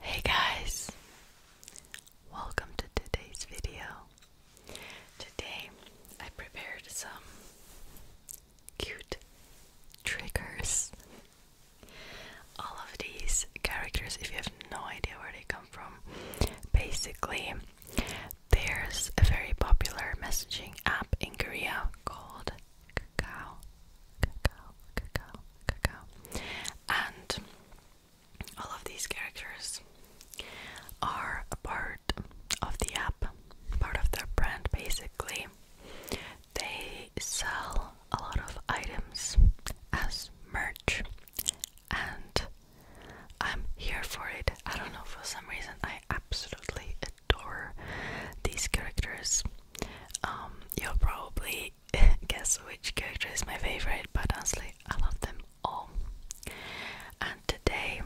Hey guys, welcome to today's video. Today I prepared some cute triggers. All of these characters, if you have no idea where they come from, basically, there's a very popular messaging app in Korea called Kakao cacao, cacao, cacao. And all of these characters are a part of the app, part of their brand basically. They sell a lot of items as merch, and I'm here for it. I don't know, for some reason, I absolutely adore these characters. Um, you'll probably guess which character is my favorite, but honestly, I love them all. And today,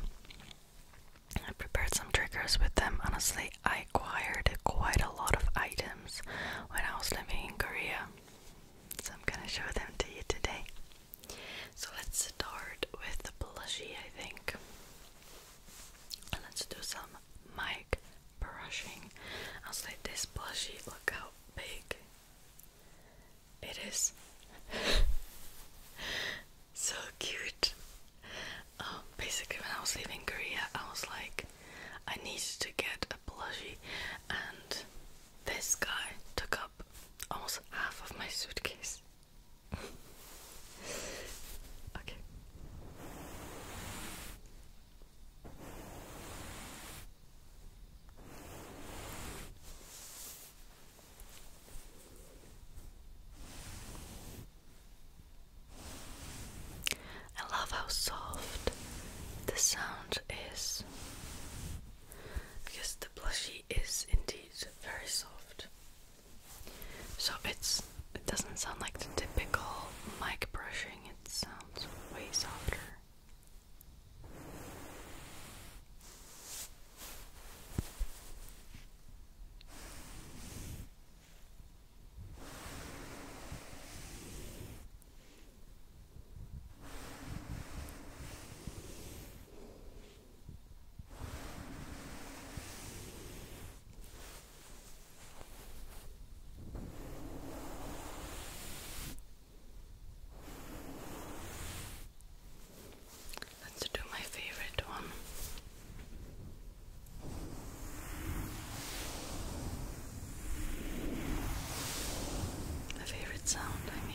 I prepared some triggers with them. Honestly, I acquired quite a lot of items when I was living in Korea, so I'm gonna show them to you today. So let's start with the plushie, I think. let's do some my brushing. I was like, this plushie, look how big it is. so cute. Um, basically, when I was leaving Korea, I was like, I needed to get a plushie, and this guy took up almost half of my suitcase. okay. I love how soft the sound is because the plushie is indeed very soft. So it's it doesn't sound like the typical mic brushing it sounds way softer. Let's do my favorite one. My favorite sound, I mean.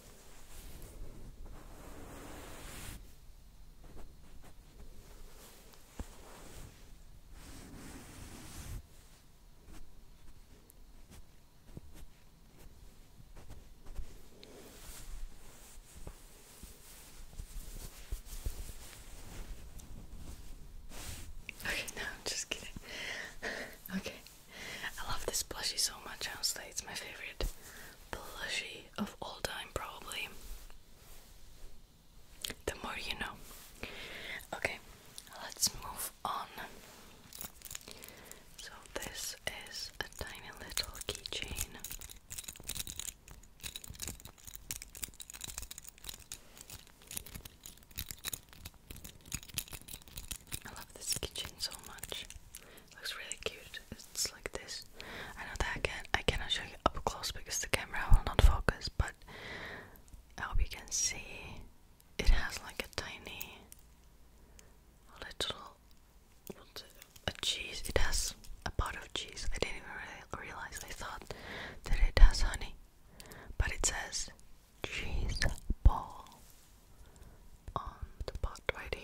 Okay, no, I'm just kidding. okay. I love this plushie so much, honestly. It's my favorite plushie of all time, probably. The more you know. Okay, let's move on. So, this is a tiny little keychain. I love this kitchen so much. It looks really cute. It's like this. I know that I I cannot show you up close because the camera will not focus, but I hope you can see it has like a tiny little a cheese. It has a pot of cheese. I didn't even really realize. I thought that it has honey, but it says cheese ball on the pot right here.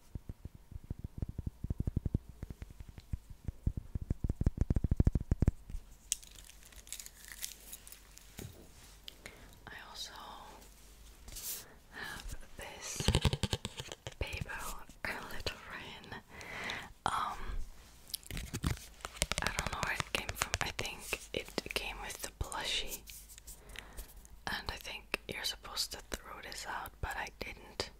I also have this paper, a little rain. Um, I don't know where it came from. I think it came with the plushie, and I think you're supposed to throw this out, but I didn't.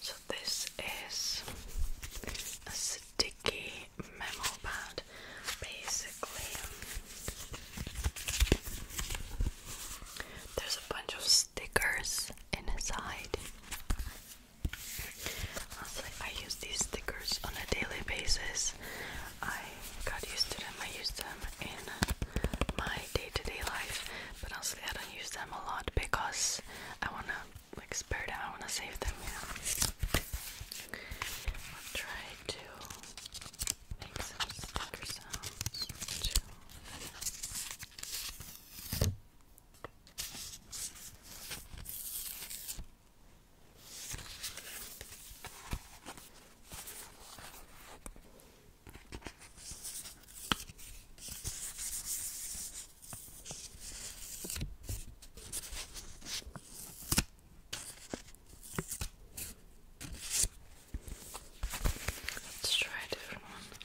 So this is a sticky memo pad, basically. There's a bunch of stickers inside. Honestly, I use these stickers on a daily basis. I got used to them. I use them in my day-to-day life, but honestly, I don't use them a lot because I wanna like spare them. I wanna save them. Yeah, I'll try to make some sticker sounds Let's try a different one.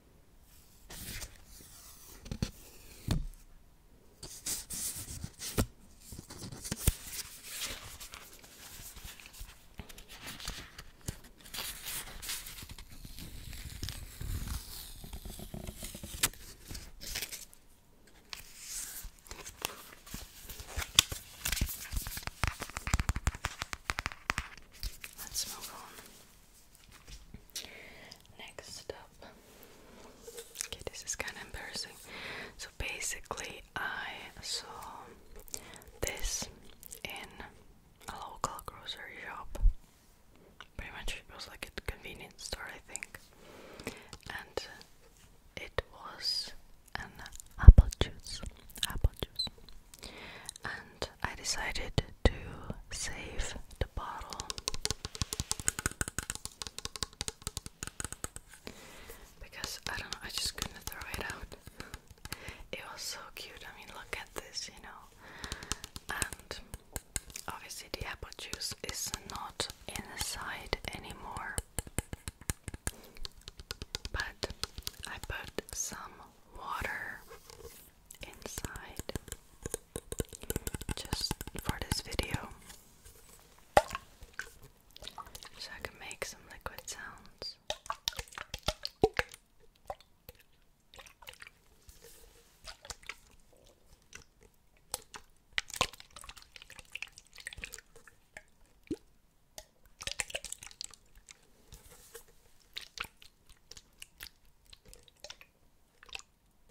Let's move on. Next up, okay, this is kind of embarrassing. So basically, I saw this in a local grocery shop. Pretty much, it was like a convenience store, I think, and it was an apple juice. Apple juice, and I decided to save the bottle because I don't know, I just couldn't throw it out. It was so cute. I mean, look at this, you know. And obviously, the apple juice is not inside anymore. But I put some water inside just for this video so I can make some liquid sounds.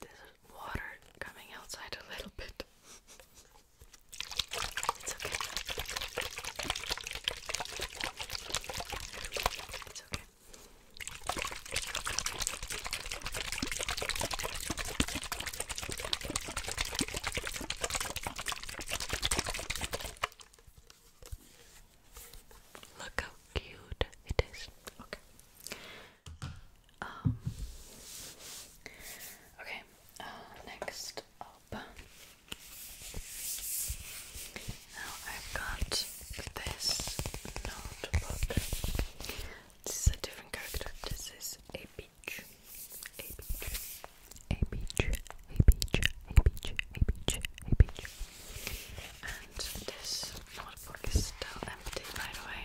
There's water coming outside a little bit. It's okay. It's okay. Look how cute it is. Okay. Um, okay, uh, next up. Now I've got this notebook. This is a different character. This is a beach. A beach. A beach. A beach. A beach. A beach. A beach. And this notebook is still empty, by the way.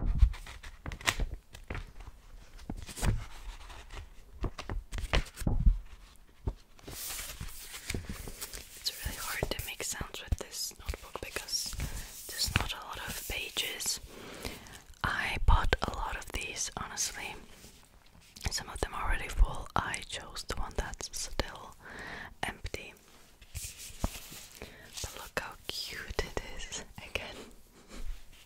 It's really hard to make sounds with this notebook because there's not a lot of pages. I bought a lot of these, honestly. Some of them are already full. I chose the one that's still empty. But look how cute it is again.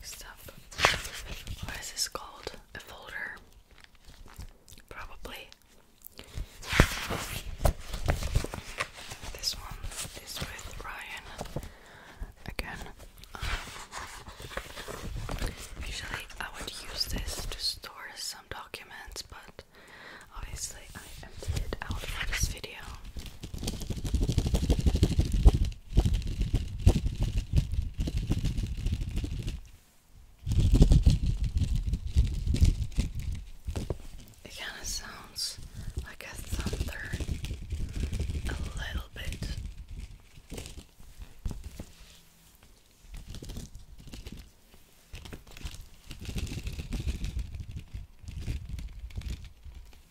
Next up, what is this called? A folder? Probably. This one is with Ryan again. Um, usually, I would use this to store some documents, but obviously, I emptied out for this video. It kind of sounds like a thunder a little bit.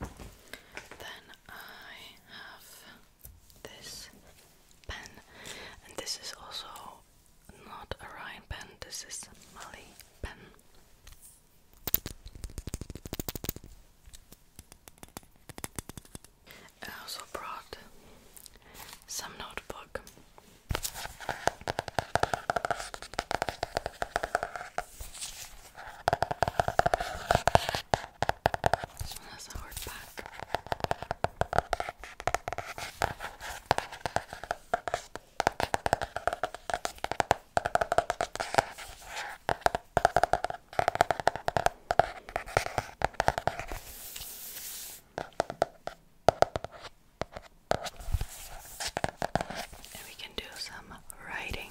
Then I have this pen, and this is also not a Ryan pen, this is Molly pen. I also brought some notebook. This one has a hard back. And we can do some writing.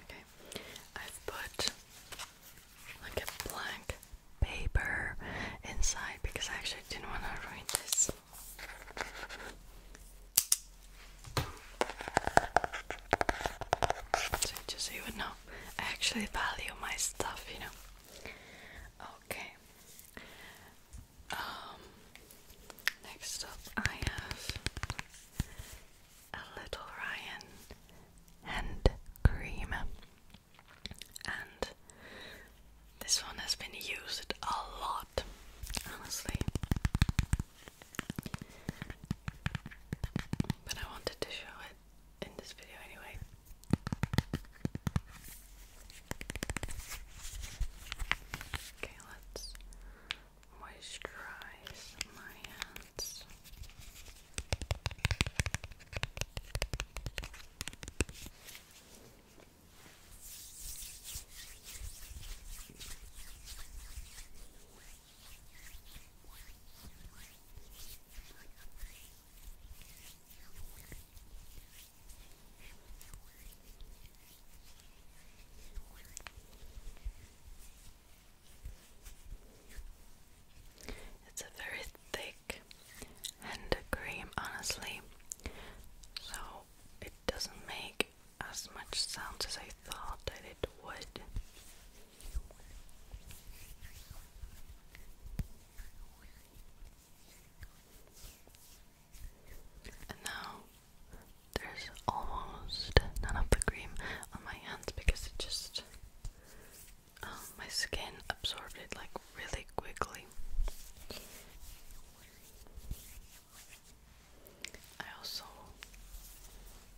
Okay, I've put like a blank paper inside because I actually didn't want to ruin this. just you know, I actually value my stuff, you know. Okay, um, next up, I have a Little Ryan hand cream, and this one has been used a lot, honestly. But I wanted to show it in this video anyway. Okay, let's moisturize my hands. It's a very thick hand cream, honestly, so it doesn't make as much sound as I thought that it would. And now there's almost none of the cream on my hands because it just um, my skin absorbed it like really quickly. I also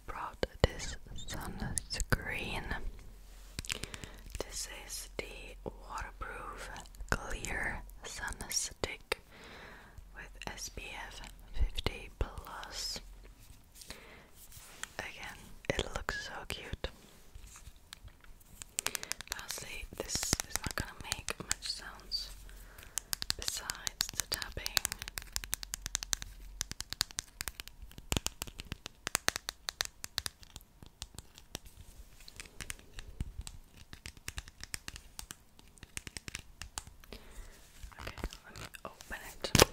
brought this sunscreen this is the waterproof clear sun stick with SPF 50 plus. Again, it looks so cute. Honestly, this is not gonna make much sounds besides the tapping. Okay, let me open it. Okay,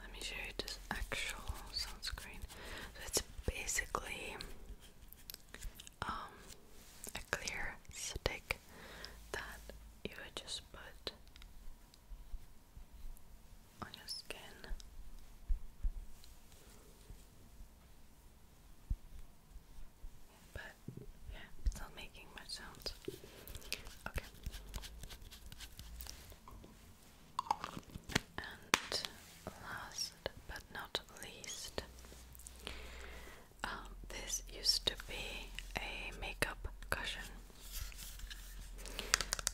let me show you this actual sunscreen. So it's basically um, a clear stick that you just put on your skin. But yeah, not making much sound. Okay. And last but not least, um, this used to be a makeup cushion.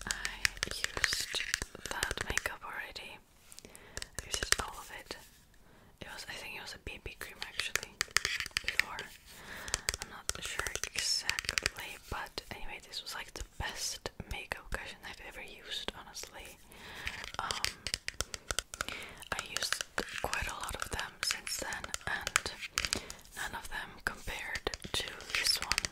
I used that makeup already. I used all of it. It was I think it was a BB cream actually before. I'm not sure exactly, but anyway, this was like the best makeup cushion I've ever used, honestly. Um I used quite a lot of them since then and none of them compared to this one.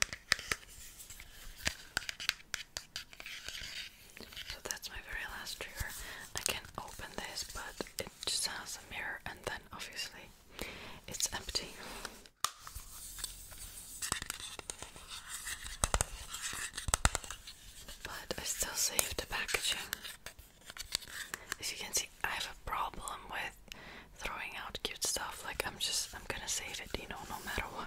So that's my very last trigger. I can open this, but it just has a mirror, and then obviously it's empty. But I still save the packaging. As you can see, I have a problem with throwing out cute stuff. Like I'm just I'm gonna save it, you know, no matter what.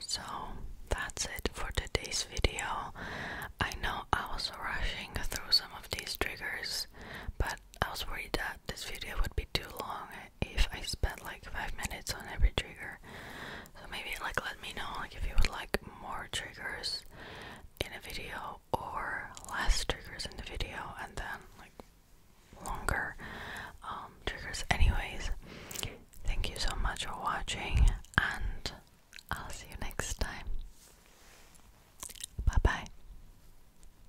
So that's it for today's video. I know I was rushing through some of these triggers, but I was worried that this video would be too long if I spent like five minutes on every trigger. So maybe like let me know like if you would like more triggers in a video or less triggers in the video and then like longer um, triggers. Anyways, thank you so much for watching and I'll see you next time. Bye bye.